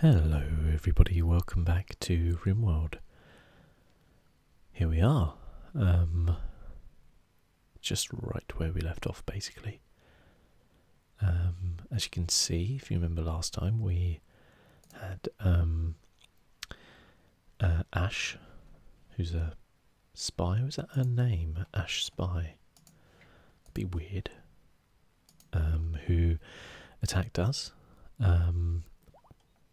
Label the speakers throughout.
Speaker 1: Hello everybody, welcome back to RimWorld. Here we are, um, just right where we left off basically. Um, as you can see, if you remember last time, we had um, uh, Ash, who's a spy, was that her name? Ash Spy. be weird. Um, who attacked us, um,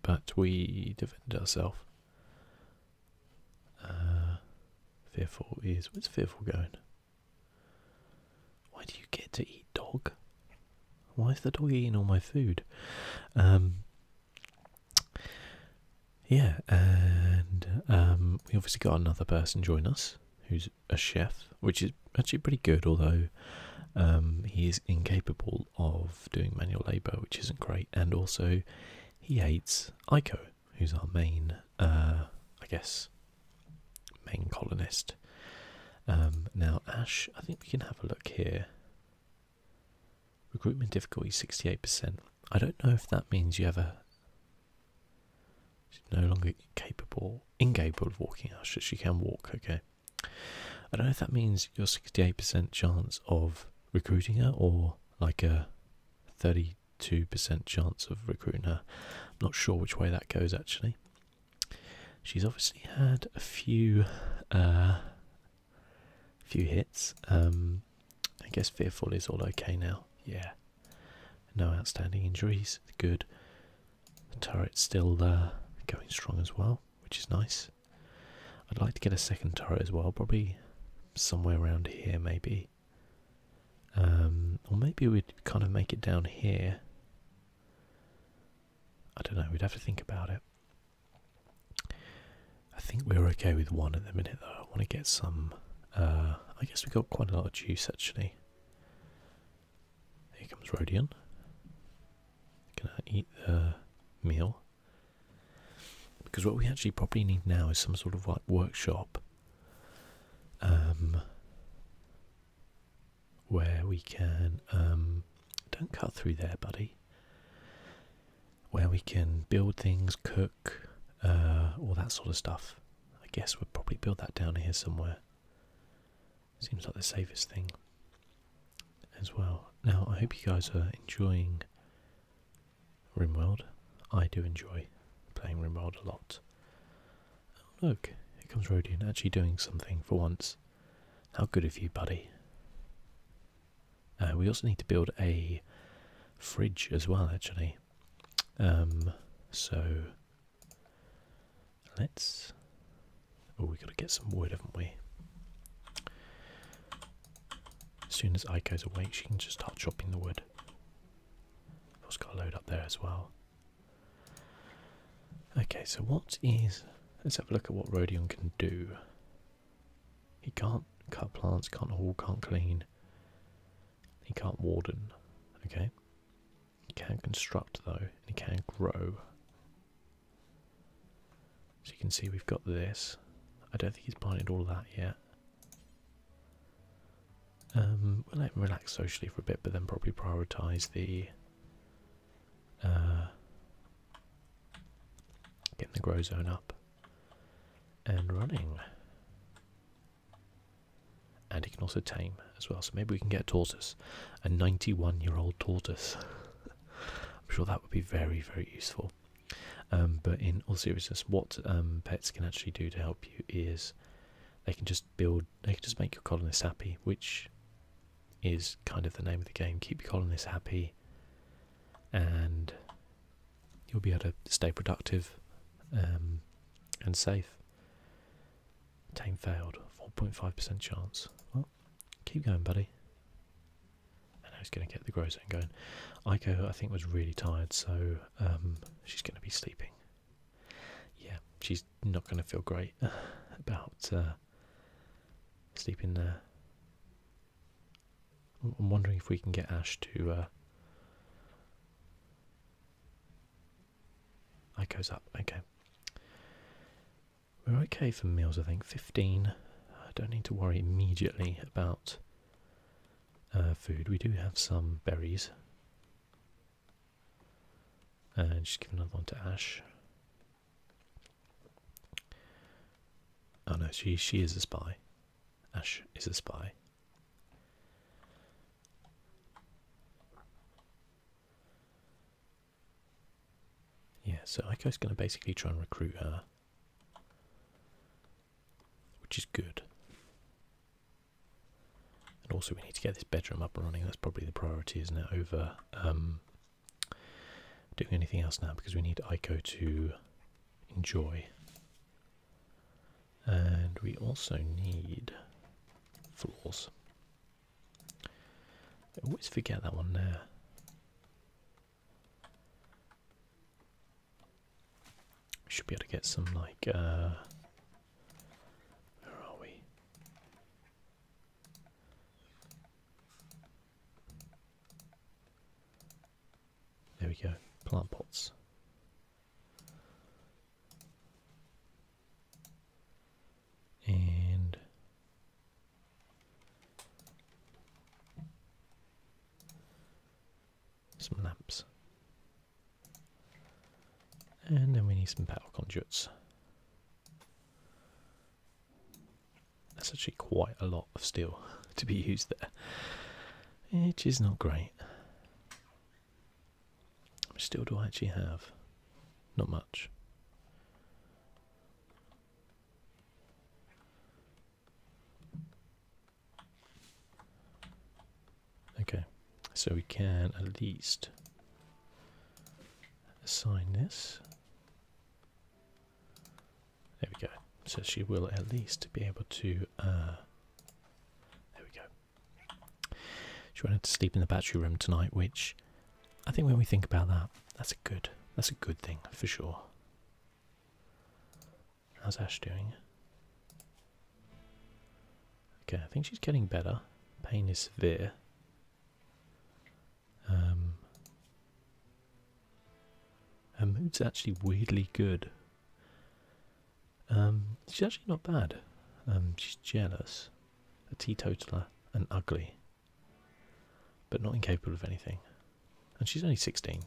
Speaker 1: but we defended ourselves. Uh, fearful is where's fearful going? Why do you get to eat dog? Why is the dog eating all my food? Um, yeah, and we obviously got another person join us who's a chef, which is actually pretty good, although um, he is incapable of doing manual labour, which isn't great. And also, he hates Ico, who's our main, uh, I guess, main colonist. Um, now, Ash, I think we can have a look here. Recruitment difficulty 68%. I don't know if that means you have a She's no longer capable, incapable of walking. Oh, she, she can walk, okay. I don't know if that means your 68% chance of recruiting her or like a 32% chance of recruiting her. I'm not sure which way that goes actually. She's obviously had a few uh, few hits. Um, I guess Fearful is all okay now. Yeah, no outstanding injuries. Good. The turret's still uh, going strong as well, which is nice. I'd like to get a second turret as well, probably somewhere around here, maybe. Um, or maybe we'd kind of make it down here. I don't know, we'd have to think about it. I think we're okay with one at the minute though. I want to get some. Uh, I guess we got quite a lot of juice actually. Here comes Rodion. Can I eat the meal? Because what we actually probably need now is some sort of like workshop um, where we can. Um, don't cut through there, buddy. Where we can build things, cook, uh, all that sort of stuff. I guess we'll probably build that down here somewhere. Seems like the safest thing as well. Now, I hope you guys are enjoying RimWorld. I do enjoy playing RimWorld a lot. Oh, look, it comes Rodian actually doing something for once. How good of you, buddy. Uh, we also need to build a fridge as well, actually. Um, so Let's. Oh, we got to get some wood, haven't we? As soon as I awake, she can just start chopping the wood. I've got a load up there as well. Okay, so what is. Let's have a look at what Rodion can do. He can't cut plants, can't haul, can't clean. He can't warden. Okay. He can construct though, and he can grow. So you can see we've got this. I don't think he's planted all that yet. Um, we'll let him relax socially for a bit, but then probably prioritise the uh, getting the grow zone up and running and it can also tame as well. So maybe we can get a tortoise, a 91 year old tortoise. I'm sure that would be very, very useful. Um, but in all seriousness, what um, pets can actually do to help you is they can just build, they can just make your colonists happy, which is kind of the name of the game. Keep your colonists happy, and you'll be able to stay productive um, and safe. Tame failed. 4.5% chance. Well, keep going, buddy. And now he's going to get the Grosset going. Aiko, I think, was really tired, so um, she's going to be sleeping. Yeah, she's not going to feel great uh, about uh, sleeping there. I'm wondering if we can get Ash to... Uh, that goes up, okay. We're okay for meals, I think. 15. I don't need to worry immediately about uh, food. We do have some berries. And just give another one to Ash. Oh no, she she is a spy. Ash is a spy. Yeah, so Echo's going to basically try and recruit her, which is good. And also we need to get this bedroom up and running, that's probably the priority, isn't it, over um, doing anything else now, because we need Ico to enjoy. And we also need floors. I oh, always forget that one there. Should be able to get some like uh where are we? There we go, plant pots and some lamps. And then we need some power conduits. That's actually quite a lot of steel to be used there, which is not great still do I actually have? Not much. Okay, so we can at least assign this. There we go. So she will at least be able to. Uh, there we go. She wanted to sleep in the battery room tonight, which I think when we think about that, that's a good that's a good thing for sure. How's Ash doing? Okay, I think she's getting better. Pain is severe. Um, her mood's actually weirdly good. Um, she's actually not bad. Um, she's jealous a teetotaler, and ugly, but not incapable of anything. And she's only 16.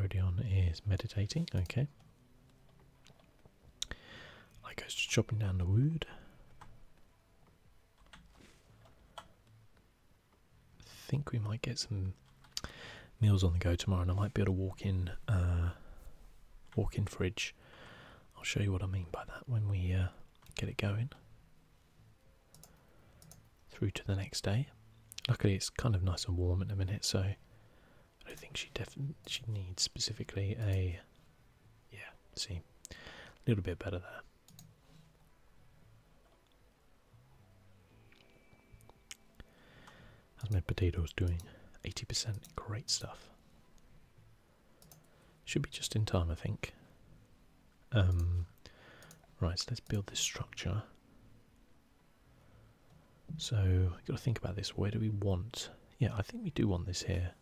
Speaker 1: Rodion is meditating, okay. I goes chopping down the wood. think we might get some meals on the go tomorrow, and I might be able to walk in, uh, walk in fridge. I'll show you what I mean by that when we uh, get it going. Through to the next day. Luckily, it's kind of nice and warm at the minute, so I don't think she definitely she needs specifically a. Yeah, see, a little bit better there. How's my potatoes doing? 80%, great stuff. Should be just in time, I think. Um, right, so let's build this structure. So, I've got to think about this. Where do we want? Yeah, I think we do want this here.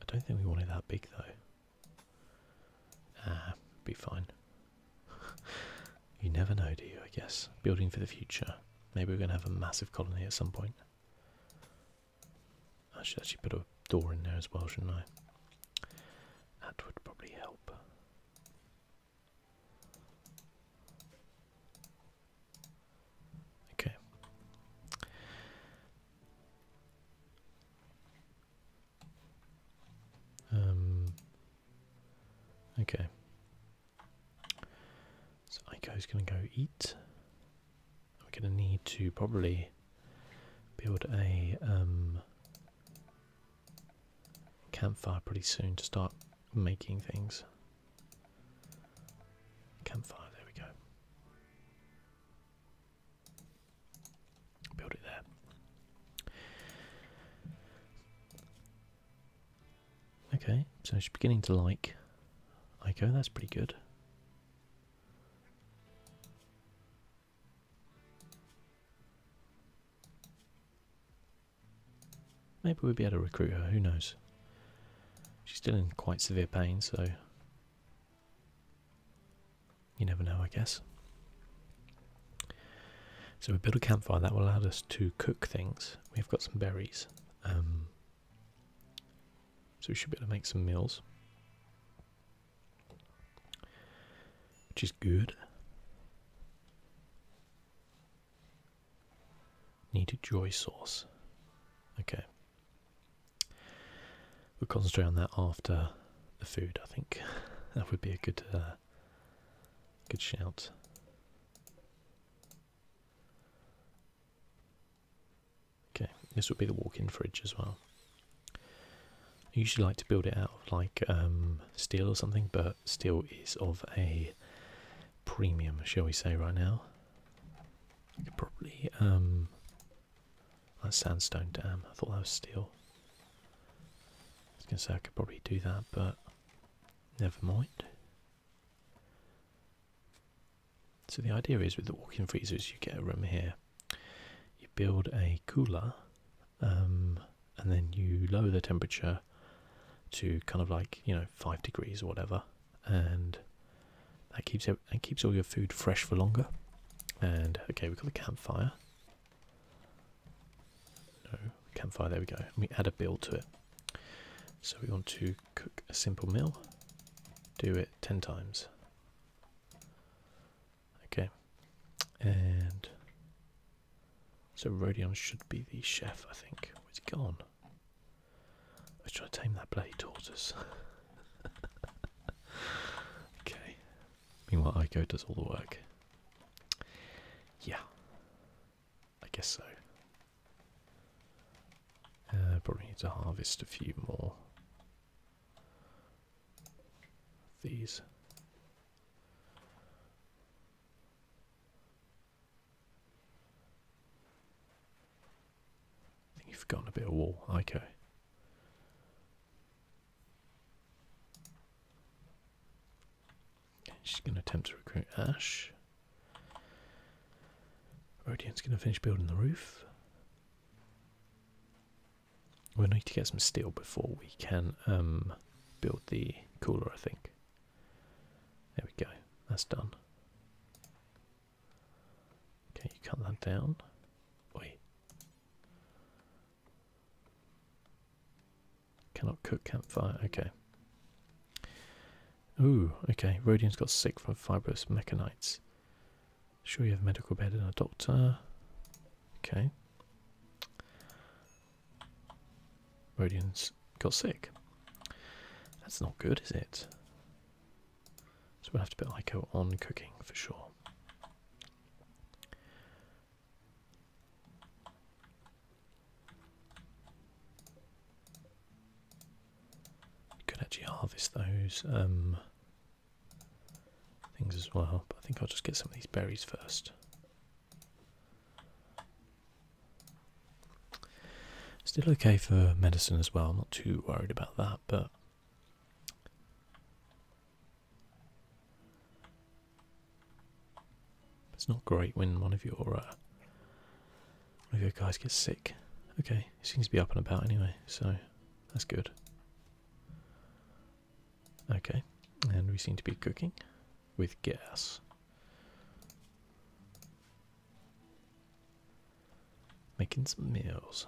Speaker 1: I don't think we want it that big, though. Ah, be fine. you never know, do you, I guess? Building for the future. Maybe we're going to have a massive colony at some point. I should actually put a door in there as well, shouldn't I? That would probably help. Okay. Um, okay. So is going to go eat. We're going to need to probably build a um, campfire pretty soon to start making things. Campfire, there we go. Build it there. Okay, so she's beginning to like Ico, that's pretty good. Maybe we would be able to recruit her, who knows. She's still in quite severe pain, so you never know, I guess. So we build a campfire that will allow us to cook things. We've got some berries, um, so we should be able to make some meals, which is good. Need a joy sauce. Okay. We'll concentrate on that after the food, I think. That would be a good, uh, good shout. Okay, this would be the walk-in fridge as well. I usually like to build it out of like um, steel or something, but steel is of a premium, shall we say, right now. I could probably um, that's sandstone, damn. I thought that was steel. I was going to say I could probably do that, but never mind. So the idea is with the walk-in freezers, you get a room here, you build a cooler, um, and then you lower the temperature to kind of like, you know, 5 degrees or whatever, and that keeps, it, it keeps all your food fresh for longer. And, okay, we've got the campfire. No, campfire, there we go. And we add a build to it. So we want to cook a simple meal. Do it 10 times. Okay. And so Rodion should be the chef, I think. it's oh, gone. I was trying to tame that bloody tortoise. okay. Meanwhile, Ico does all the work. Yeah, I guess so. Uh, probably need to harvest a few more these. I think you've forgotten a bit of wall. Ico. Okay, she's going to attempt to recruit Ash. Rodian's going to finish building the roof. we need to get some steel before we can um, build the cooler, I think. There we go. That's done. Can you cut that down. Wait. Cannot cook campfire, okay. Ooh, okay, Rodian's got sick from fibrous mechanites. Sure you have medical bed and a doctor. Okay. Rodian's got sick. That's not good, is it? So we'll have to put Ico on cooking for sure could actually harvest those um, things as well, but I think I'll just get some of these berries first. Still okay for medicine as well, I'm not too worried about that, but it's not great when one of your uh, one of your guys gets sick. Okay, he seems to be up and about anyway, so that's good. Okay, and we seem to be cooking with gas. Making some meals.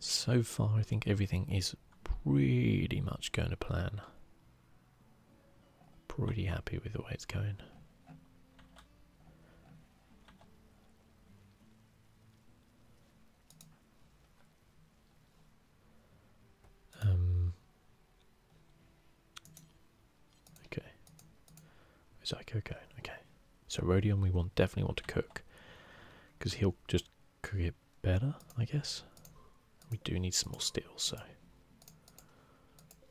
Speaker 1: So far, I think everything is pretty much going to plan. Pretty happy with the way it's going. Um, okay. Is that cocaine? Okay. So Rodion we want definitely want to cook. Because he'll just cook it better, I guess. We do need some more steel, so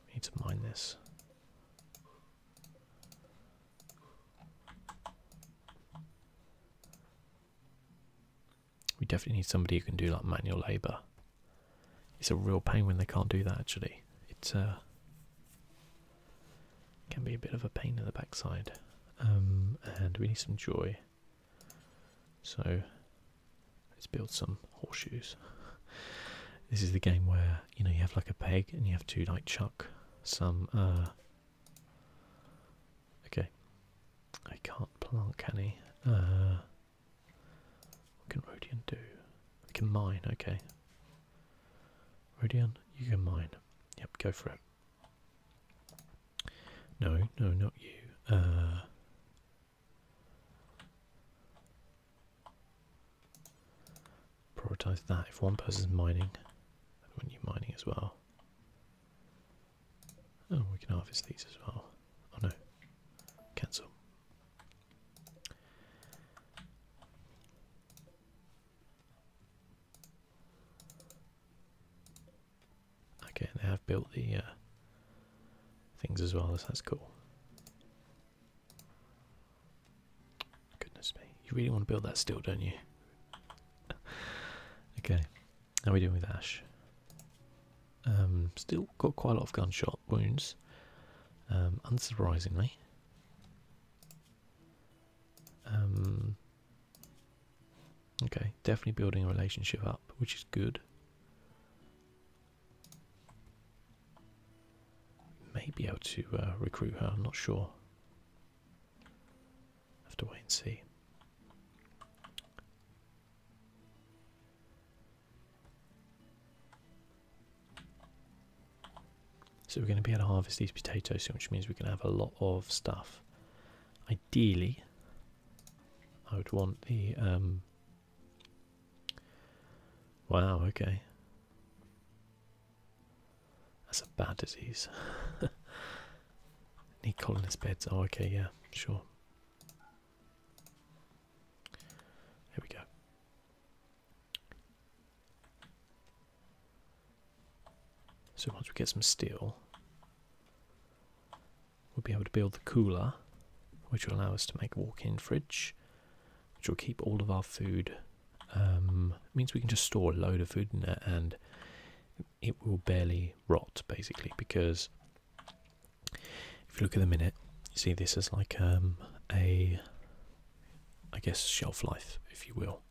Speaker 1: we need to mine this. We definitely need somebody who can do like manual labour. It's a real pain when they can't do that actually. It's uh, can be a bit of a pain in the backside, um, and we need some joy. So let's build some horseshoes. this is the game where you know you have like a peg and you have to like chuck some. Uh, okay, I can't plant, can he? Uh, what can Rodian do? We can mine. Okay, Rodion, you can mine. Yep, go for it. No, no, not you. Uh, prioritize that. If one person's mining, I want you mining as well. Oh, we can harvest these as well. Oh no, cancel. Okay, they have built the uh, things as well, so that's cool. Goodness me, you really want to build that still, don't you? okay, how are we doing with Ash? Um, still got quite a lot of gunshot wounds, um, unsurprisingly. Um, Okay, definitely building a relationship up, which is good. May be able to uh, recruit her, I'm not sure. Have to wait and see. So we're going to be able to harvest these potatoes soon, which means we're going to have a lot of stuff. Ideally, I would want the... Um, wow, okay. That's a bad disease. Need colonist beds. Oh, okay, yeah, sure. There we go. So once we get some steel, we'll be able to build the cooler, which will allow us to make a walk-in fridge, which will keep all of our food. Um, it means we can just store a load of food in it, and it will barely rot, basically, because if you look at the minute, you see this as like um, a, I guess, shelf life, if you will.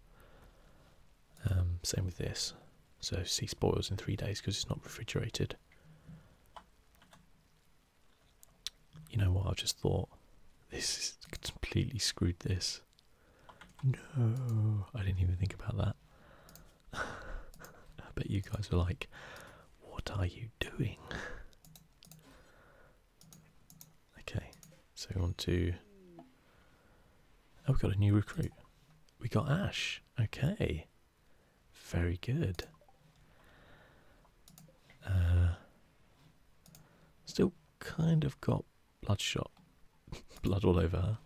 Speaker 1: Um, same with this. So see spoils in three days because it's not refrigerated. You know what? I just thought this is completely screwed this. No, I didn't even think about that. I bet you guys were like, what are you doing? Okay, so we want to... Oh, we've got a new recruit. We got Ash. Okay. Very good. Uh, still kind of got bloodshot. Blood all over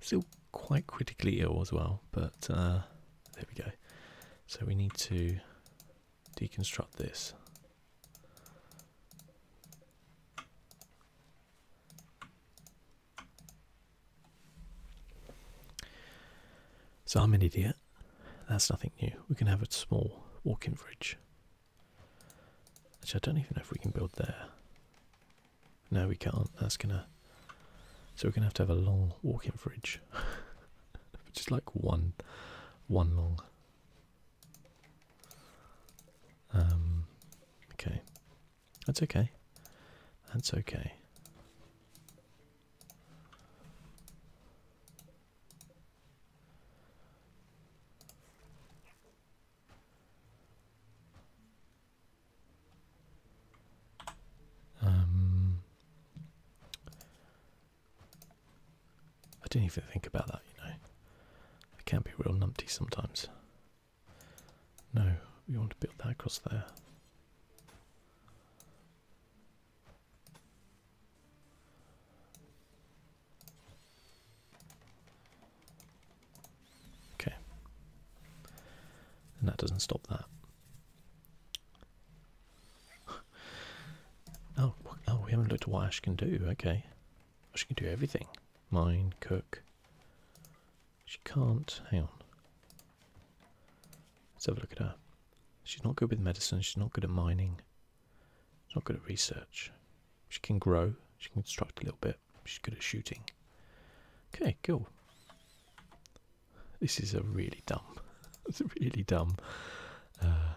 Speaker 1: Still quite critically ill as well, but uh, there we go. So we need to deconstruct this. So I'm an idiot. That's nothing new. We can have a small walk-in fridge. Actually, I don't even know if we can build there. No, we can't. That's gonna. So we're gonna have to have a long walk-in fridge, just like one, one long. Um, okay. That's okay. That's okay. Um, I didn't even think about that, you know. I can be real numpty sometimes. No, we want to build that across there. Okay. And that doesn't stop that. oh, oh, we haven't looked at what Ash can do. Okay. She can do everything mine, cook. She can't, hang on. Let's have a look at her. She's not good with medicine, she's not good at mining, she's not good at research. She can grow, she can construct a little bit, she's good at shooting. Okay, cool. This is a really dumb, it's a really dumb, uh,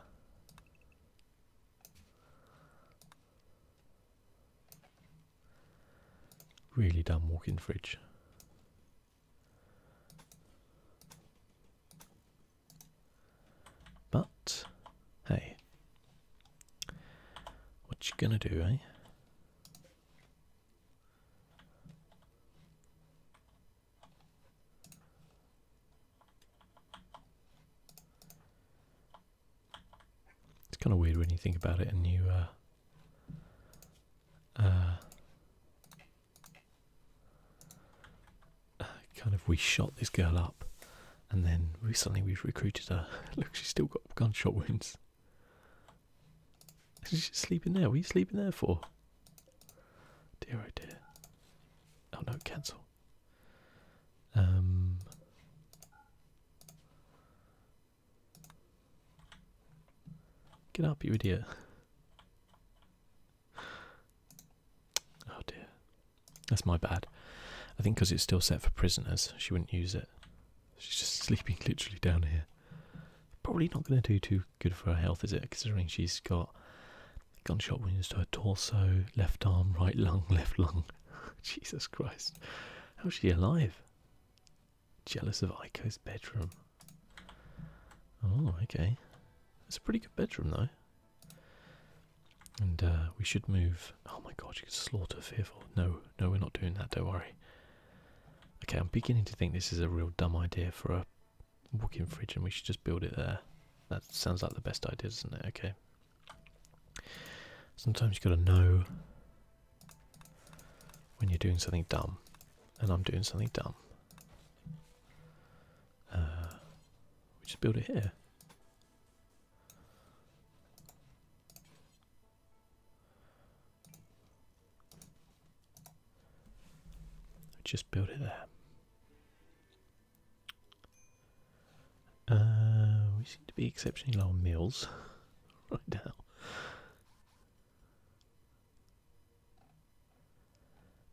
Speaker 1: Really dumb walk-in fridge. But hey, what you gonna do, eh? It's kind of weird when you think about it and you uh, uh, uh, kind of we shot this girl up and then recently we've recruited her. Look, she's still got gunshot wounds. She's just sleeping there. What are you sleeping there for? Dear, oh dear. Oh no, cancel. Um, Get up, you idiot. Oh dear. That's my bad. I think because it's still set for prisoners, she wouldn't use it. She's just sleeping literally down here. Probably not going to do too good for her health, is it? Considering she's got gunshot wounds to her torso, left arm, right lung, left lung. Jesus Christ. How's she alive? Jealous of Aiko's bedroom. Oh, okay. It's a pretty good bedroom, though. And uh, we should move. Oh my god, you could slaughter fearful. No, no, we're not doing that, don't worry. Okay, I'm beginning to think this is a real dumb idea for a walk fridge, and we should just build it there. That sounds like the best idea, doesn't it? Okay, Sometimes you have gotta know when you're doing something dumb, and I'm doing something dumb. Uh, we just build it here. Just build it there. Uh, we seem to be exceptionally low on meals right now.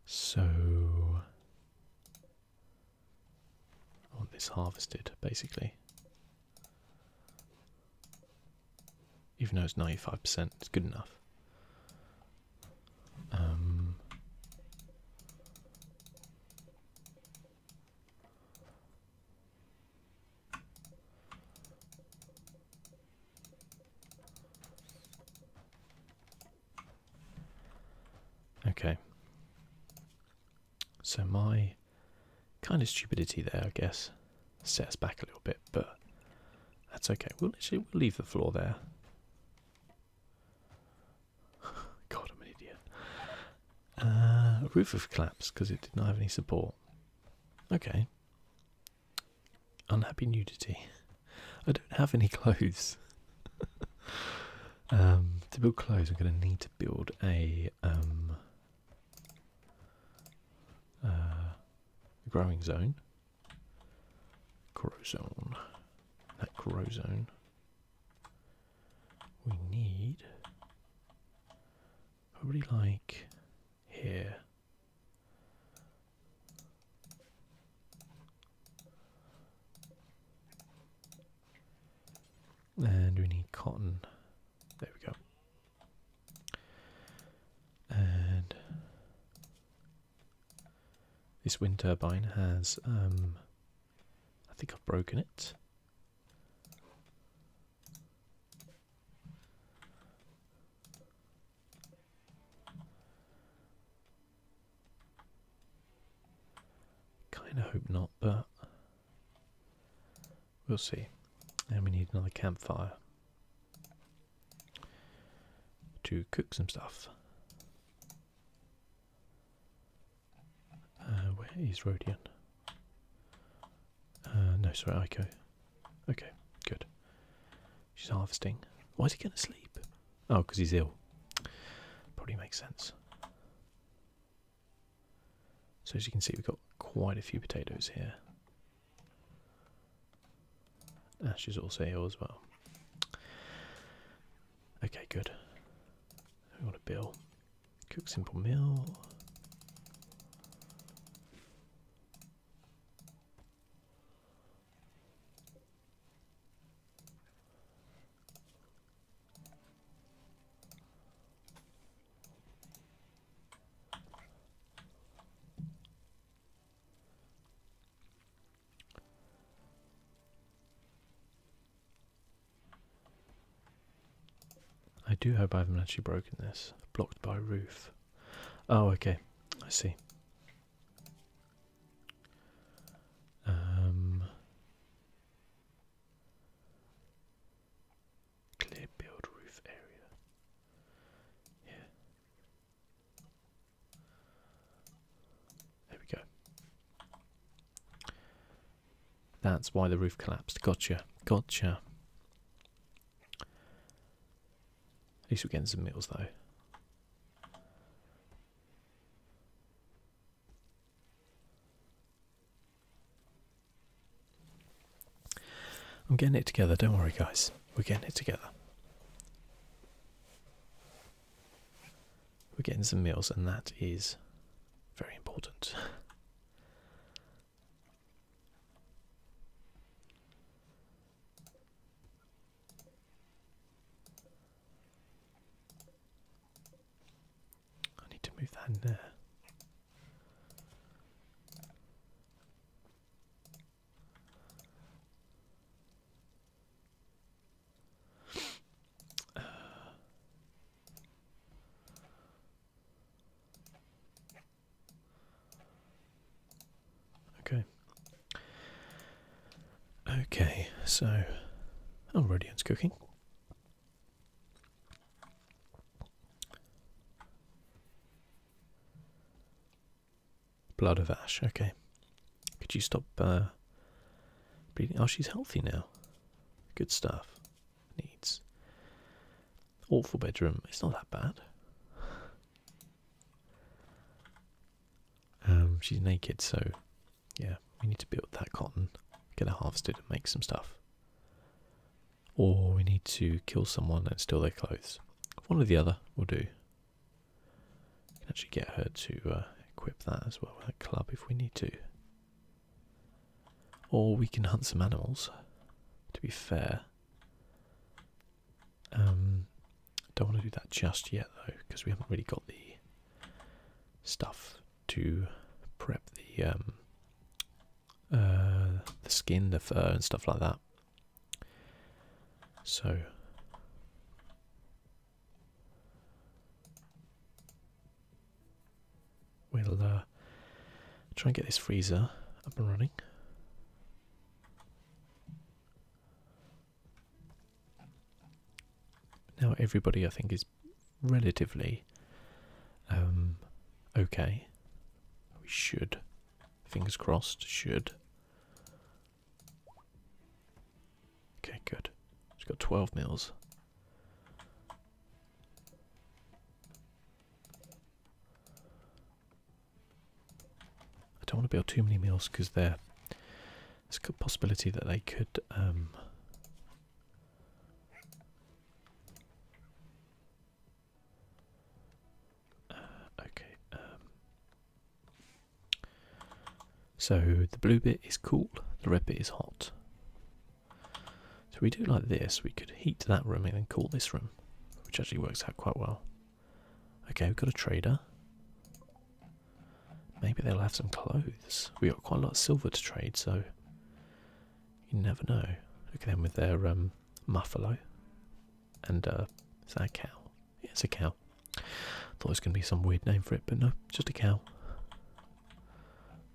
Speaker 1: So, want this harvested basically. Even though it's 95%, it's good enough. Um, Okay. So my kind of stupidity there, I guess, set us back a little bit, but that's okay. We'll actually leave the floor there. God, I'm an idiot. Uh, roof of collapse because it did not have any support. Okay. Unhappy nudity. I don't have any clothes. um, to build clothes, I'm going to need to build a um, uh, growing zone. Grow zone. That grow zone. We need probably like here. And we need cotton. There we go. And this wind turbine has, um, I think I've broken it. Kinda hope not, but we'll see. And we need another campfire to cook some stuff. Uh, where is Rodian? Uh, no, sorry, Okay, Okay, good. She's harvesting. Why is he going to sleep? Oh, because he's ill. Probably makes sense. So as you can see, we've got quite a few potatoes here. Ash she's also ill as well. Okay, good. We want a bill. Cook simple meal. I do hope I haven't actually broken this. Blocked by roof. Oh, okay. I see. Um, clear build roof area. Yeah. There we go. That's why the roof collapsed. Gotcha. Gotcha. At least we're getting some meals though. I'm getting it together, don't worry guys. We're getting it together. We're getting some meals and that is very important. I need to move that in there. Okay. Okay, so oh Rodian's cooking. Blood of ash, okay. Could you stop uh bleeding? Oh she's healthy now. Good stuff needs. Awful bedroom. It's not that bad. Um, she's naked, so yeah, we need to build that cotton, get it harvested, and make some stuff. Or we need to kill someone and steal their clothes. One or the other will do. We can actually get her to uh, equip that as well with club if we need to. Or we can hunt some animals, to be fair. Um, don't want to do that just yet though, because we haven't really got the stuff to prep the um, uh, the skin, the fur, and stuff like that. So. We'll uh, try and get this freezer up and running. Now everybody, I think, is relatively um, okay. We should, fingers crossed, should. Okay, good. It's got 12 mils. I don't want to build too many meals because there's a possibility that they could um, uh, okay um, so the blue bit is cool the red bit is hot so we do like this, we could heat that room and then cool this room, which actually works out quite well. Okay, we've got a trader. Maybe they'll have some clothes. We got quite a lot of silver to trade, so you never know. Look at them with their um, muffalo. And uh, is that a cow? Yeah, it's a cow. Thought it was going to be some weird name for it, but no, just a cow.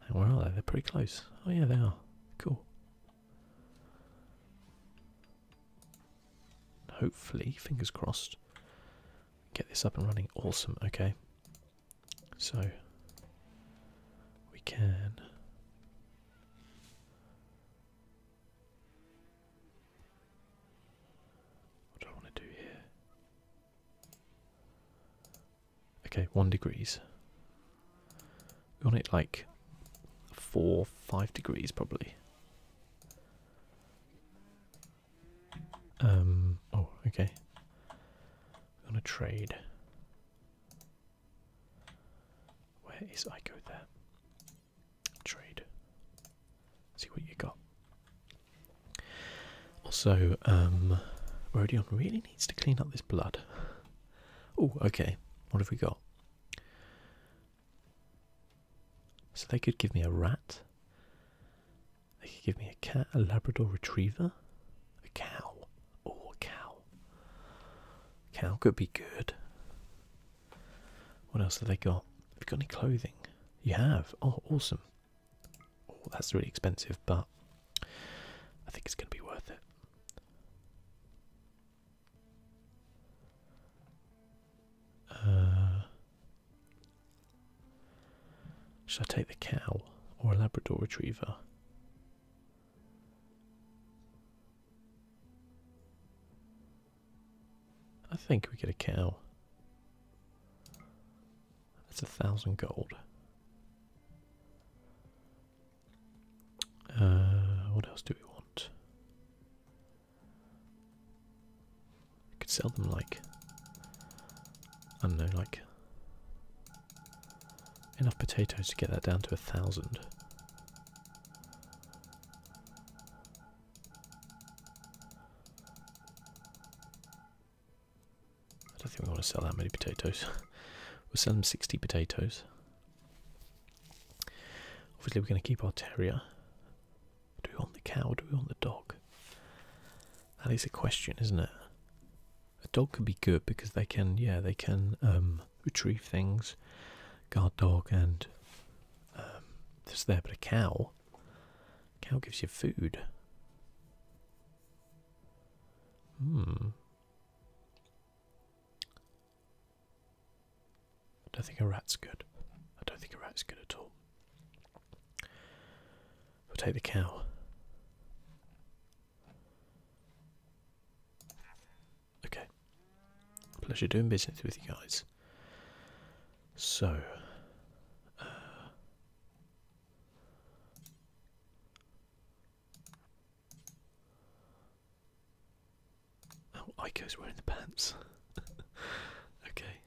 Speaker 1: where are they? They're pretty close. Oh yeah, they are. Cool. Hopefully, fingers crossed, get this up and running. Awesome, okay. So, we can. What do I want to do here? Okay, one degrees. We want it like four, five degrees probably. Um oh, okay. We're gonna trade. Where is I go there? Trade. See what you got. Also, um really needs to clean up this blood. Oh, okay. What have we got? So they could give me a rat. They could give me a cat, a Labrador retriever, a cow. or a cow. Cow could be good. What else have they got? Have you got any clothing? You have. Oh, awesome. Oh, that's really expensive, but I think it's going to be worth it. Uh, should I take the cow or a Labrador retriever? I think we get a cow. That's a thousand gold. Uh, what else do we want? We could sell them like I don't know, like enough potatoes to get that down to a thousand. I don't think we want to sell that many potatoes. we'll sell them 60 potatoes. Obviously, we're going to keep our terrier. Do we want the cow or do we want the dog? That is a question, isn't it? A dog can be good because they can, yeah, they can um, retrieve things, guard dog, and um, there. But a cow, cow gives you food. Hmm. I don't think a rat's good. I don't think a rat's good at all. We'll take the cow. Okay. Pleasure doing business with you guys. So. Uh, Oh, Ico's wearing the pants. okay. I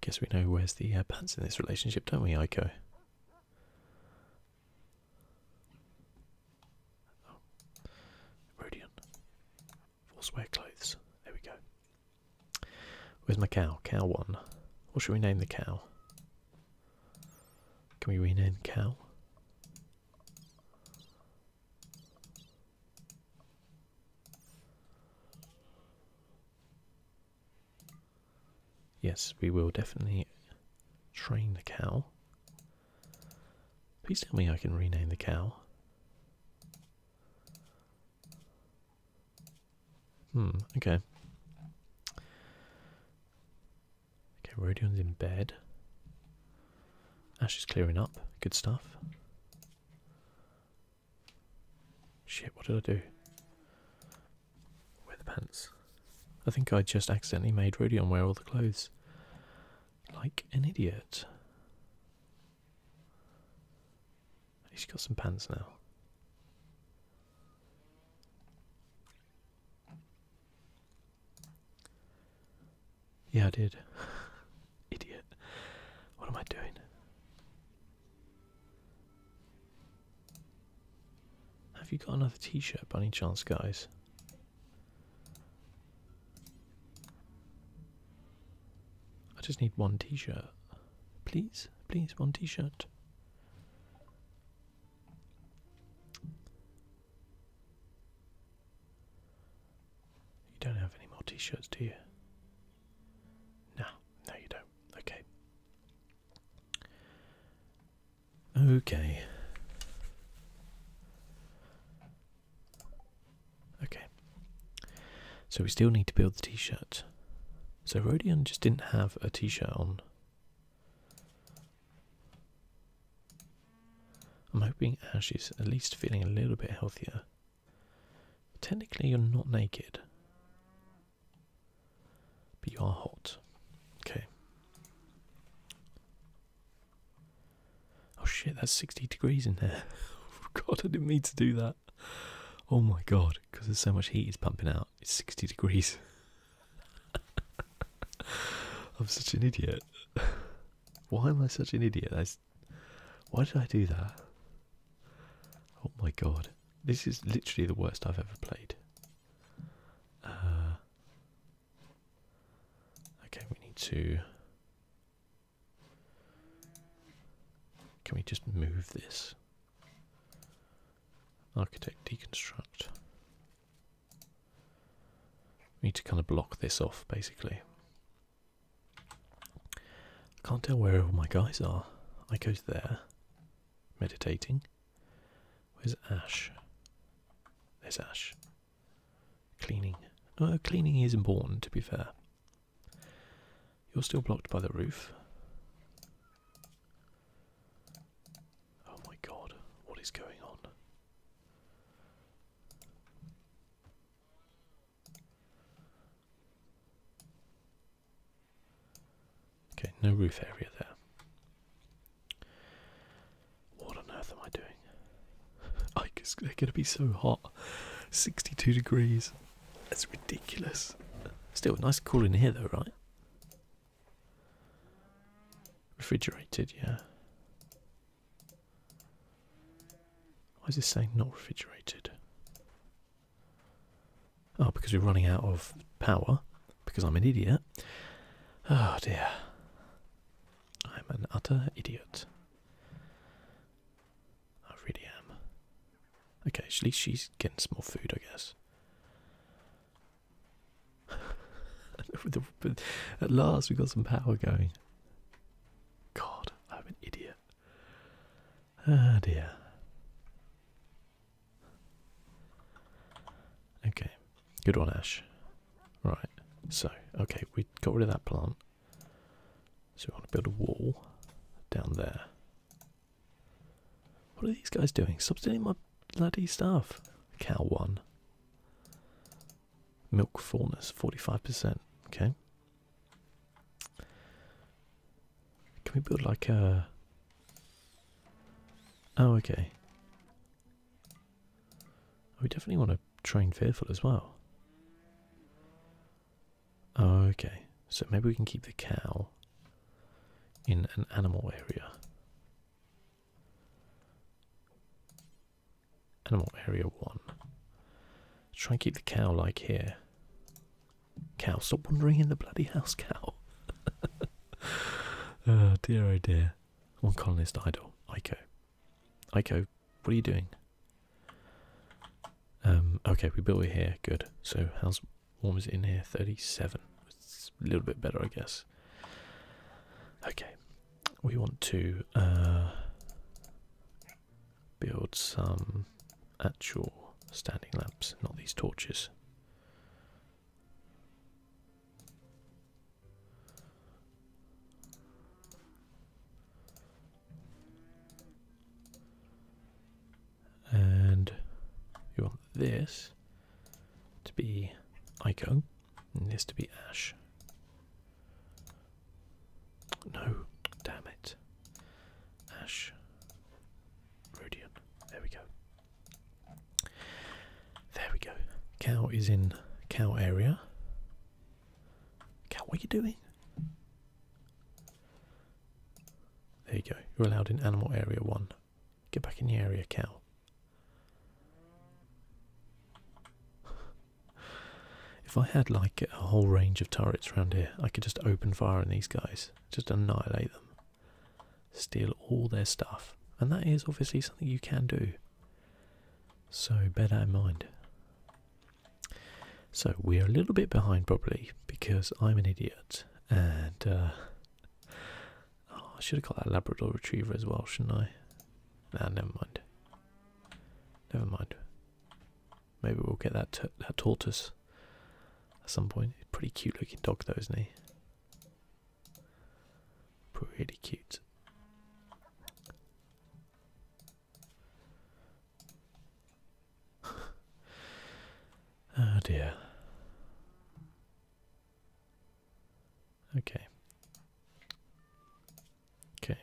Speaker 1: guess we know where's the uh, pants in this relationship, don't we, Ico? Oh. Rodion. Forcewear clothes. There we go. Where's my cow? Cow one. What should we name the cow? Can we rename the cow? Yes, we will definitely train the cow. Please tell me I can rename the cow. Hmm, okay. Okay, Rhodion's in bed. Ash is clearing up. Good stuff. Shit, what did I do? Wear the pants. I think I just accidentally made Rodion wear all the clothes. Like an idiot. He's got some pants now. Yeah, I did. Idiot. What am I doing? Have you got another t shirt by any chance, guys? I just need one t shirt. Please, please, one t shirt. You don't have any more t-shirts, do you? No, no you don't. Okay. Okay. Okay. So we still need to build the t-shirt. So Rodion just didn't have a t-shirt on I'm hoping Ash uh, is at least feeling a little bit healthier. Technically, you're not naked, but you are hot. Okay. Oh shit, that's 60 degrees in there. Oh, god, I didn't mean to do that. Oh my god, because there's so much heat is pumping out. It's 60 degrees. I'm such an idiot. Why am I such an idiot? why did I do that? Oh my god. This is literally the worst I've ever played. Uh, okay, we need to. Can we just move this? Architect deconstruct. We need to kind of block this off, basically. Can't tell where all my guys are. I go to there, meditating. Where's Ash? There's Ash. Cleaning. Uh, cleaning is important, to be fair. You're still blocked by the roof. Oh my god, what is going on? Okay, no roof area there. What on earth am I doing? I guess they're gonna be so hot. 62 degrees. That's ridiculous. Still nice cool in here though, right? Refrigerated, yeah. Why is this saying not refrigerated? Oh, because we're running out of power. Because I'm an idiot. Oh dear. I'm an utter idiot. I really am. Okay, at least she's getting some more food, I guess. At last, we got some power going. God, I'm an idiot. Ah, dear. Okay, good one, Ash. Right, so, okay, we got rid of that plant. So we want to build a wall down there. What are these guys doing? Substituting my bloody stuff. Cow one. Milk fullness, 45%. Okay. Can we build like a... Oh, okay. We definitely want to train Fearful as well. Oh, okay, so maybe we can keep the cow in an animal area. Animal area one. try and keep the cow like here. Cow, stop wandering in the bloody house, cow. oh dear, oh dear. One colonist idle. Iko. Iko, what are you doing? Um, okay, we built it here. Good. So, how's warm is it in here? 37. It's a little bit better, I guess. Okay, we want to uh, build some actual standing lamps, not these torches. And you want this to be ICO. It needs to be ash. No, damn it. Ash. Rhodian. There we go. There we go. Cow is in cow area. Cow, what are you doing? There you go. You're allowed in animal area one. Get back in the area, cow. if I had like a whole range of turrets around here, I could just open fire on these guys, just annihilate them, steal all their stuff, and that is obviously something you can do. So bear that in mind. So we're a little bit behind probably because I'm an idiot and uh, oh, I should have got that Labrador Retriever as well, shouldn't I? Nah, never mind. Never mind. Maybe we'll get that, that tortoise at some point. Pretty cute looking dog though, isn't he? Pretty cute. oh dear. Okay. Okay.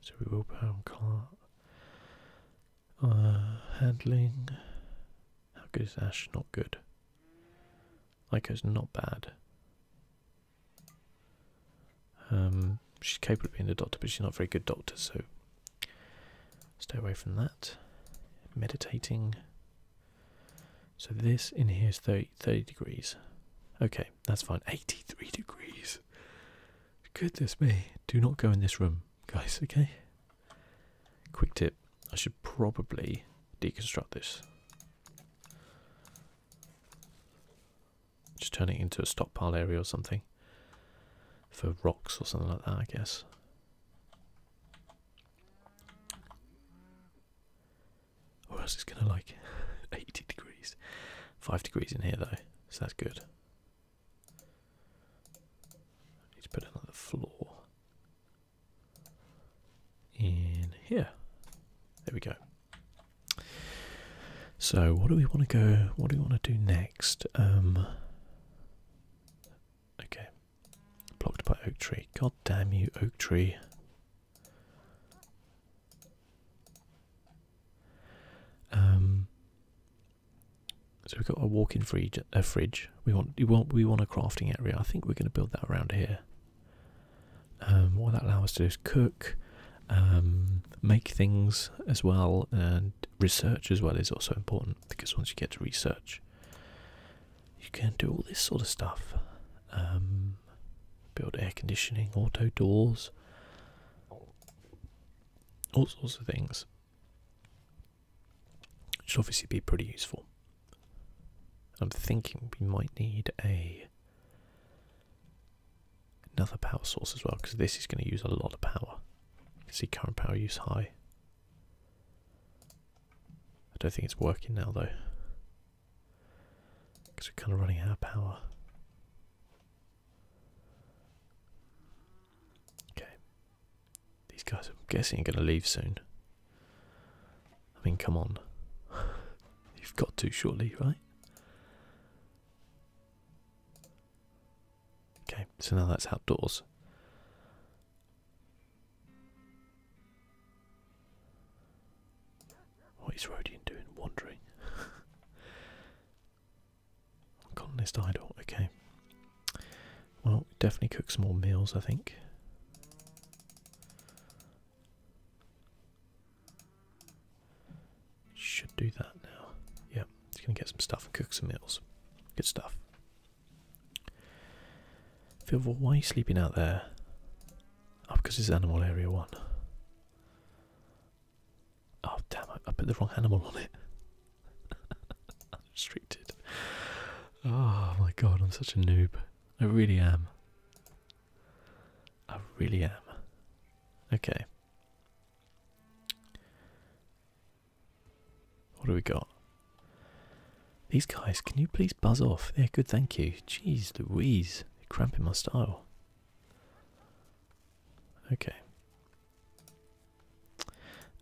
Speaker 1: So we will pound car handling. How good is Ash? Not good. Ico's not bad. Um she's capable of being a doctor, but she's not a very good doctor, so stay away from that. Meditating so this in here is 30, degrees. Okay, that's fine. 83 degrees. Goodness me. Do not go in this room, guys, okay? Quick tip. I should probably deconstruct this. Just turn it into a stockpile area or something. For rocks or something like that, I guess. Or else it's gonna like 80 degrees. 5 degrees in here though, so that's good. Need to put another floor in here. There we go. So what do we want to go what do we want to do next? Um, Okay. Blocked by oak tree. God damn you, oak tree. Um so we've got a walk-in fridge a fridge. We want we want we want a crafting area. I think we're gonna build that around here. Um what that allows us to do is cook, um make things as well and research as well is also important because once you get to research you can do all this sort of stuff. Um, build air conditioning, auto doors, all sorts of things. Which should obviously be pretty useful. I'm thinking we might need a another power source as well because this is going to use a lot of power. You can see current power use high. I don't think it's working now though. Because we're kind of running out of power. Okay. These guys, I'm guessing, are going to leave soon. I mean, come on. You've got to, shortly, right? Okay, so now that's outdoors. What is Rodian doing? Wandering. Colonist idol, okay. Well, definitely cook some more meals, I think. Should do that now. Yeah, just gonna get some stuff and cook some meals. Good stuff. Fieldville, why are you sleeping out there? Oh, because it's animal area one. Oh, damn, I, I put the wrong animal on it. Restricted. Oh my god, I'm such a noob. I really am. I really am. Okay. What do we got? These guys, can you please buzz off? They're good, thank you. Jeez Louise, they're cramping my style. Okay.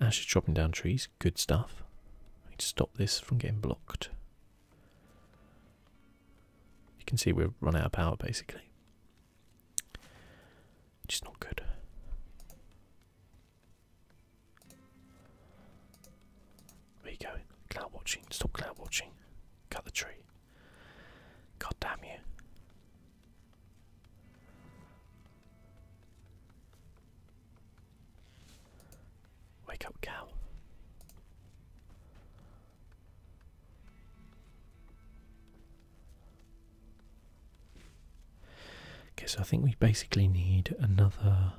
Speaker 1: Ash is chopping down trees, good stuff. to stop this from getting blocked. You can see we've run out of power basically. Which is not good. Where you Cloud watching. Stop cloud watching. Cut the tree. God damn you. Wake up, cow. Okay, so I think we basically need another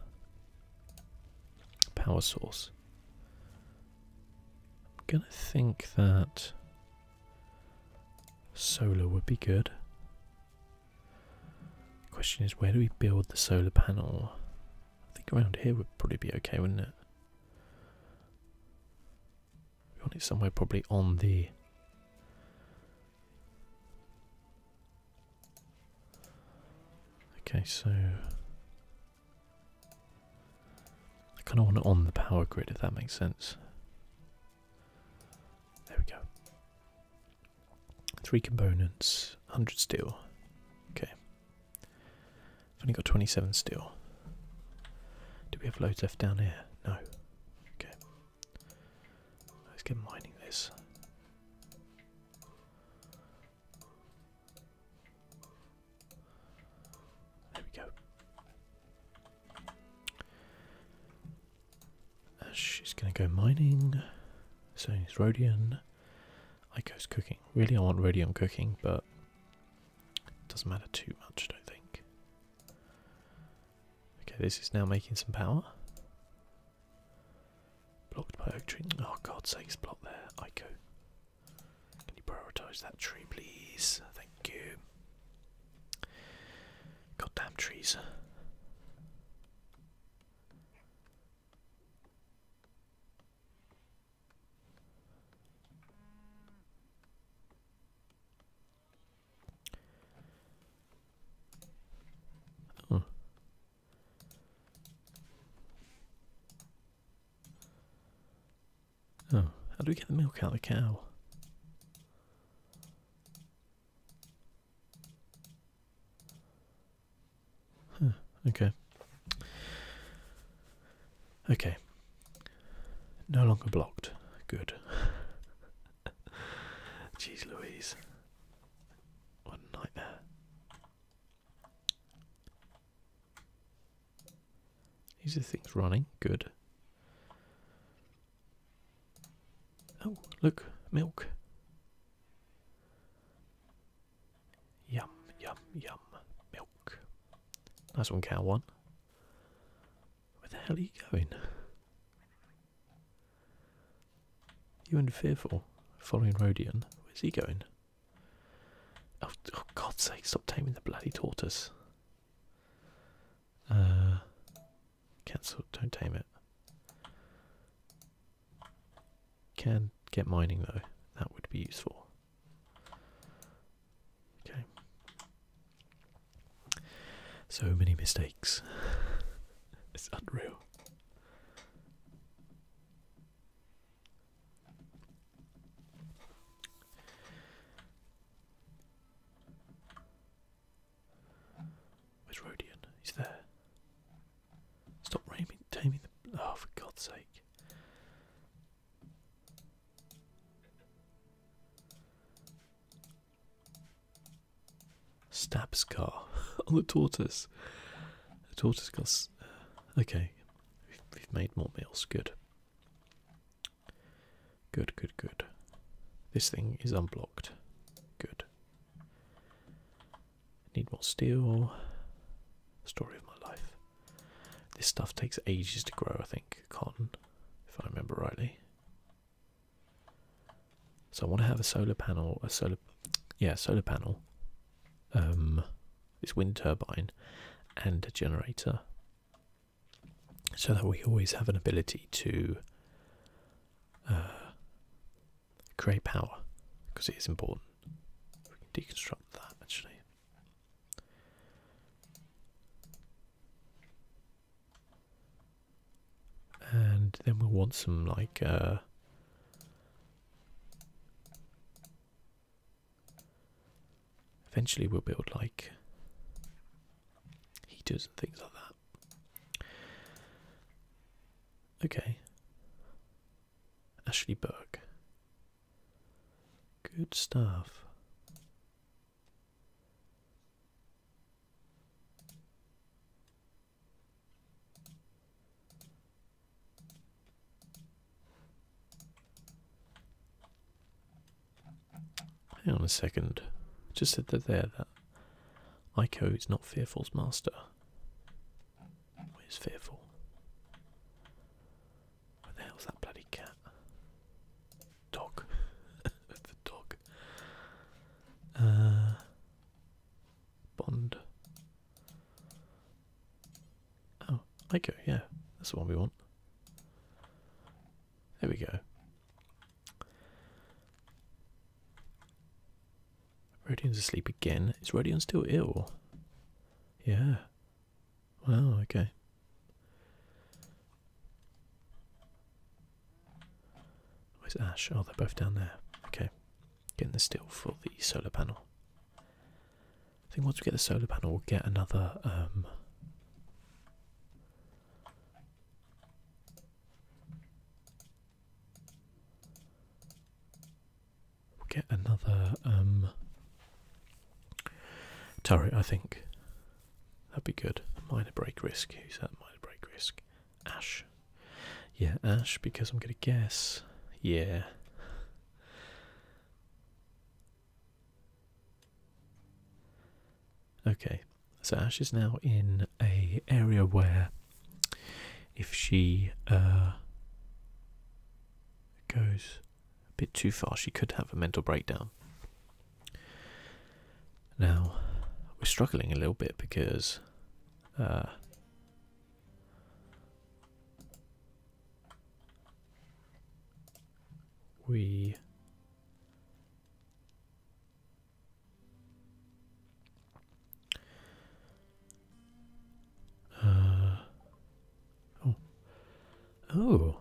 Speaker 1: power source. I'm gonna think that solar would be good. Question is, where do we build the solar panel? I think around here would probably be okay, wouldn't it? We want it somewhere probably on the Okay, so I kind of want it on the power grid, if that makes sense. There we go. Three components, 100 steel. Okay. I've only got 27 steel. Do we have loads left down here? No. Okay. Let's get mining this. There we go. Uh, she's going to go mining. So it's Rhodian. Ico's cooking. Really, I want Rhodium cooking, but it doesn't matter too much, I don't think. Okay, this is now making some power. Blocked by oak tree. Oh, God's sakes, block there. Ico. Can you prioritise that tree, please? Thank you. Goddamn trees. Oh, how do we get the milk out of the cow? Huh, okay. Okay. No longer blocked. Good. Jeez Louise. What nightmare. These are things running. Good. Oh, look. Milk. Yum, yum, yum. Milk. Nice one, cow one. Where the hell are you going? You and Fearful following Rodion. Where's he going? Oh, oh, God's sake, stop taming the bloody tortoise. Uh, cancel, don't tame it. Can get mining though, that would be useful. Okay. So many mistakes. it's unreal. Where's Rodian? He's there. Stop raming, taming the. Oh, for God's sake. Stabs car on the tortoise. The tortoise got uh, okay. We've, we've made more meals. Good. Good, good, good. This thing is unblocked. Good. Need more steel. Story of my life. This stuff takes ages to grow, I think. Cotton, if I remember rightly. So I want to have a solar panel, a solar yeah, solar panel, um, this wind turbine, and a generator, so that we always have an ability to uh, create power because it is important. We can deconstruct that actually. And then we'll want some like uh, Eventually we'll build like heaters and things like that. Okay. Ashley Burke. Good stuff. Hang on a second. just said that there that Ico is not Fearful's master. Where's Fearful? Where the hell's that bloody cat? Dog. the dog. Uh Bond. Oh, Ico, yeah, that's the one we want. There we go. Rodion's asleep again. Is Rodion still ill? Yeah. Wow, okay. Where's Ash? Oh, they're both down there. Okay getting the steel for the solar panel. I think once we get the solar panel, we'll get another. Um, we'll get another um, turret, I think. That'd be good. A minor break risk. Who's that minor break risk? Ash. Yeah, Ash, because I'm going to guess. Yeah. Okay, so Ash is now in a area where, if she uh, goes a bit too far, she could have a mental breakdown. Now, we're struggling a little bit because uh, we uh oh oh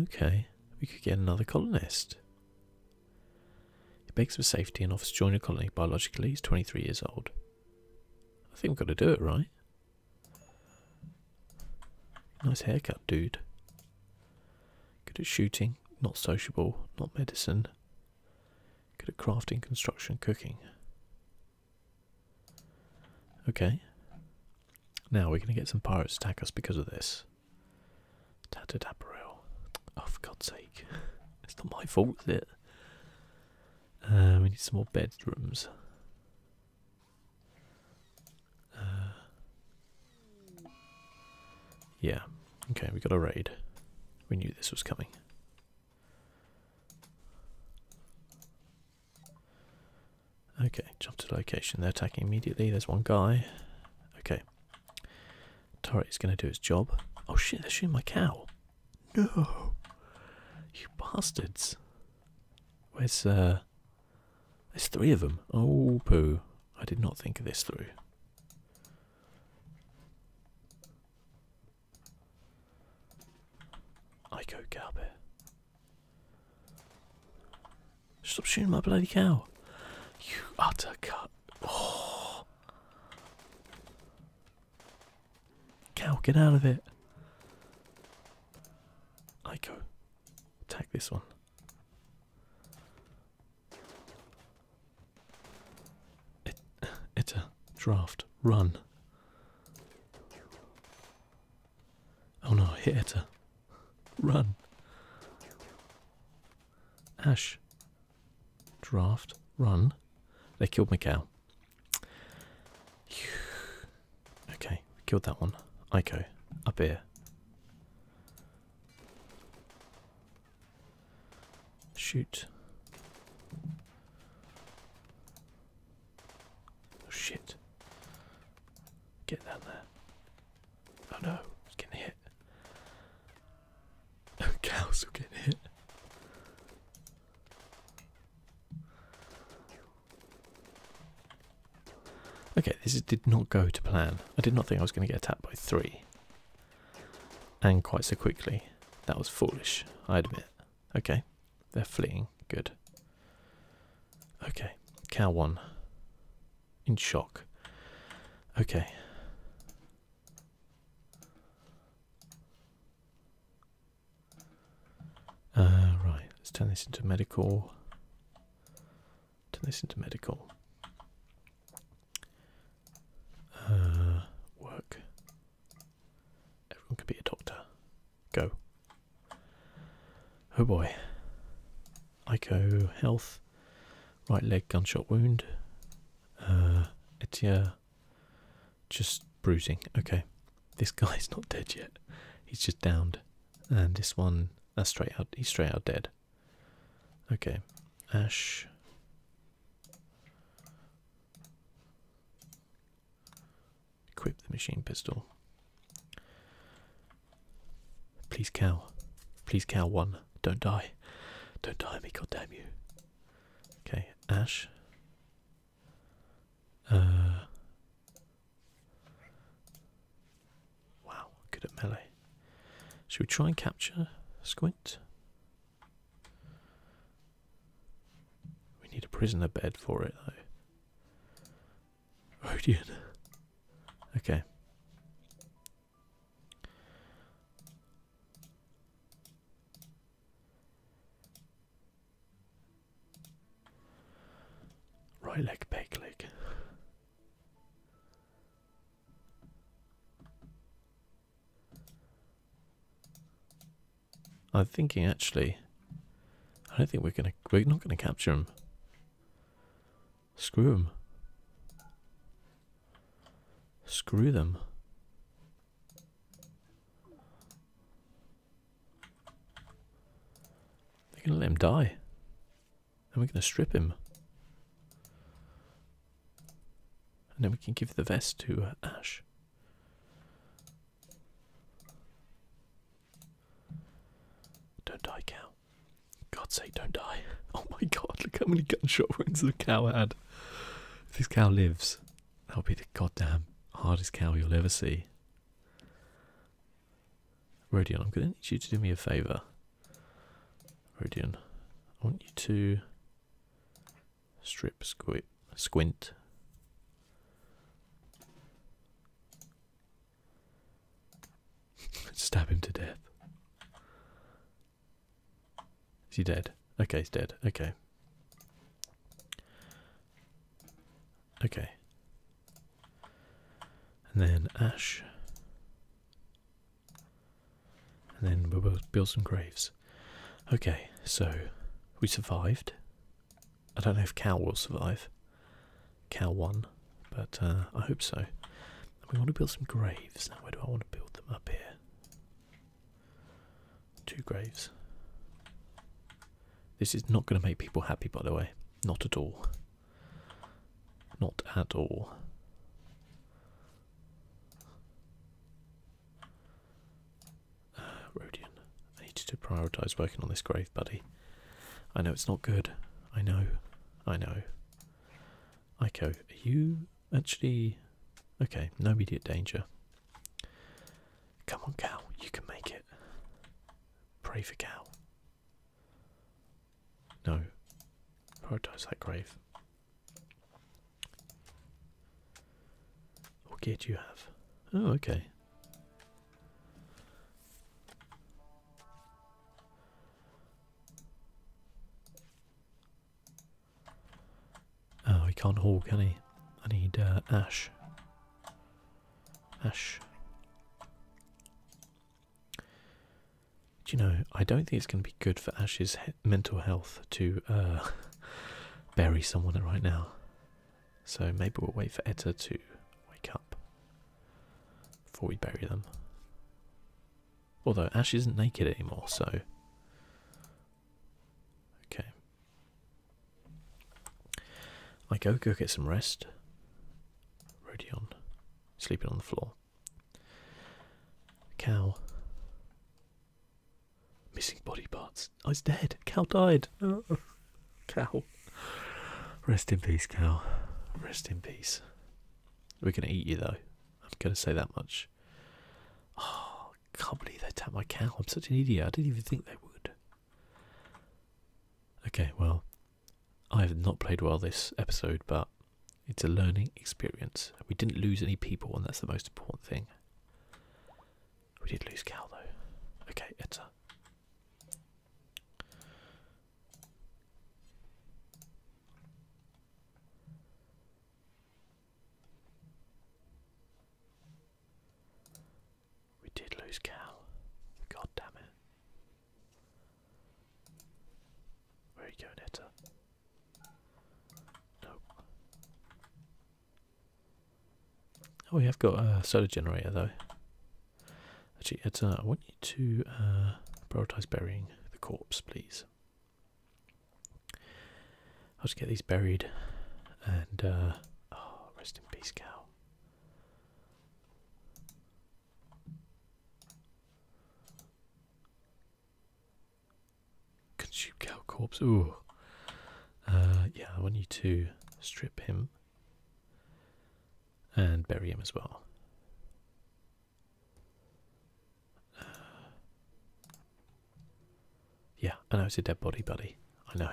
Speaker 1: okay we could get another colonist he begs for safety and offers to join a colony. Biologically, he's 23 years old. I think we've got to do it, right? Nice haircut, dude. Good at shooting, not sociable, not medicine. Good at crafting, construction, cooking. Okay. Now we're going to get some pirates to attack us because of this. Tattered apparel. Oh, for God's it's not my fault, it? Uh, we need some more bedrooms. Uh, yeah. Okay, we got a raid. We knew this was coming. Okay, jump to location. They're attacking immediately. There's one guy. Okay. Turret's gonna do his job. Oh shit, they're shooting my cow. No! You bastards. Where's, uh. There's three of them. Oh, poo. I did not think of this through. I go Garbe. Stop shooting my bloody cow. You utter cut. Oh. Cow, get out of it. Ico, attack this one. It, draft. Run. Oh no, hit Etta. Run. Ash, Draft, run. They killed my Okay, we killed that one. Iko, up here. Shoot. Oh, shit. Get down there. Oh no, it's getting hit. Cows will get hit. Okay, this did not go to plan. I did not think I was going to get attacked by three. And quite so quickly. That was foolish, I admit. Okay, they're fleeing. Good. Okay, cow one. In shock. Okay. Uh, right, let's turn this into medical. Turn this into medical. Uh, work. Everyone could be a doctor. Go. Oh boy. Ico health. Right leg gunshot wound. It's uh, Etia just bruising. Okay, this guy's not dead yet. He's just downed, and this one that's uh, straight out. He's straight out dead. Okay, Ash. Equip the machine pistol. Please cow. Please cow one. Don't die. Don't die me, goddamn you. Okay, ash. Uh Wow, good at melee. Should we try and capture Squint? We need a prisoner bed for it though. Rodian. Okay. Right leg, back leg. I'm thinking actually, I don't think we're gonna, we're not gonna capture him. Screw him. Screw them. They're gonna let him die. Then we're gonna strip him. And then we can give the vest to uh, Ash. Don't die, cow. God's sake, don't die. Oh my god, look how many gunshot wounds the cow had. this cow lives, That'll be the goddamn hardest cow you'll ever see. Rodion, I'm going to need you to do me a favour. Rodion, I want you to strip squint. squint. Stab him to death. Is he dead? Okay, he's dead. Okay. Okay. And then ash. And then we'll build some graves. Okay, so we survived. I don't know if Cal will survive. Cal won, but uh, I hope so. We want to build some graves. Now, where do I want to build them? Up here. Two graves. This is not going to make people happy, by the way. Not at all. Not at all. Uh, Rodian, I need you to prioritise working on this grave, buddy. I know it's not good. I know. I know. Iko, are you actually... Okay, no immediate danger. Come on, Cal, you can make it. Pray for Cal. No, prioritise that grave. What gear do you have? Oh, okay. Oh, he can't walk, can he? I need uh, ash. Ash. Do you know, I don't think it's going to be good for Ash's mental health to uh, bury someone right now. So maybe we'll wait for Etta to wake up before we bury them. Although Ash isn't naked anymore, so Okay. I go go get some rest. Rodion sleeping on the floor. Cow. Missing body parts. Oh, it's dead. Cow died. Cow. Rest in peace, cow. Rest in peace. We're gonna eat you though. I'm gonna say that much. Oh, I can't believe they tapped my cow. I'm such an idiot. I didn't even think they would. Okay, well, I have not played well this episode, but it's a learning experience. We didn't lose any people, and that's the most important thing. We did lose cow though. Okay, enter. We did lose Cal. God damn it. Where are you going, Etta? Nope. Oh, we have got a solar generator though. Actually, Etta, I want you to uh, prioritize burying the corpse, please. I'll just get these buried and uh, oh, rest in peace cow. Consume cow corpse. Ooh. Uh, yeah, I want you to strip him and bury him as well. Uh, yeah, I know it's a dead body, buddy. I know.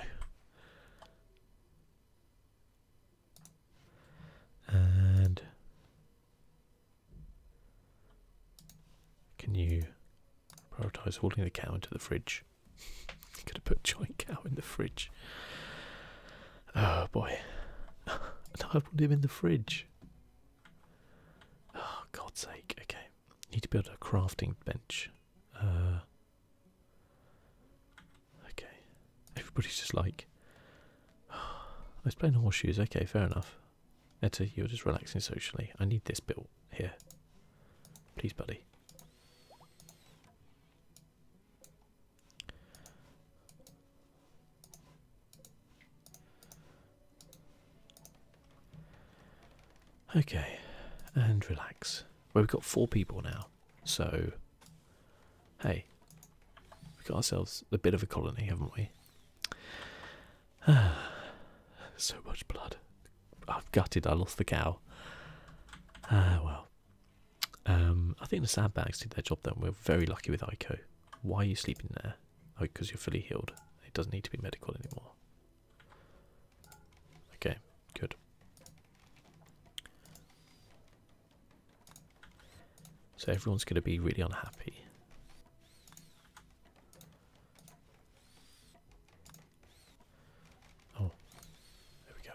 Speaker 1: And can you prioritize holding the cow into the fridge? Could have put joint cow in the fridge. Oh boy. and I put him in the fridge. Oh God's sake, okay. Need to build a crafting bench. Uh, okay. Everybody's just like, I was playing horseshoes. Okay, fair enough. Etta, you're just relaxing socially. I need this built here. Please, buddy. Okay, and relax. Well, we've got four people now, so hey, we've got ourselves a bit of a colony, haven't we? Ah, so much blood. I've gutted, I lost the cow. Ah, well. Um, I think the sandbags did their job then. We're very lucky with Ico. Why are you sleeping there? Oh, because you're fully healed. It doesn't need to be medical anymore. Okay, good. So everyone's going to be really unhappy. Oh, there we go.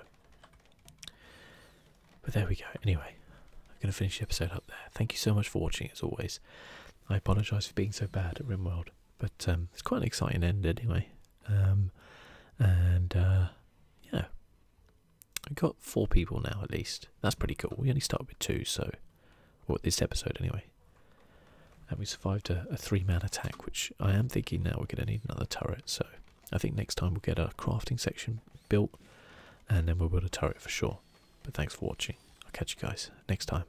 Speaker 1: But there we go. Anyway, I'm going to finish the episode up there. Thank you so much for watching, as always. I apologise for being so bad at RimWorld. But um, it's quite an exciting end anyway. Um, and uh, yeah, we got four people now at least. That's pretty cool. We only started with two, so. Or this episode anyway. And we survived a, a three man attack, which I am thinking now we're going to need another turret. So I think next time we'll get a crafting section built and then we'll build a turret for sure. But thanks for watching. I'll catch you guys next time.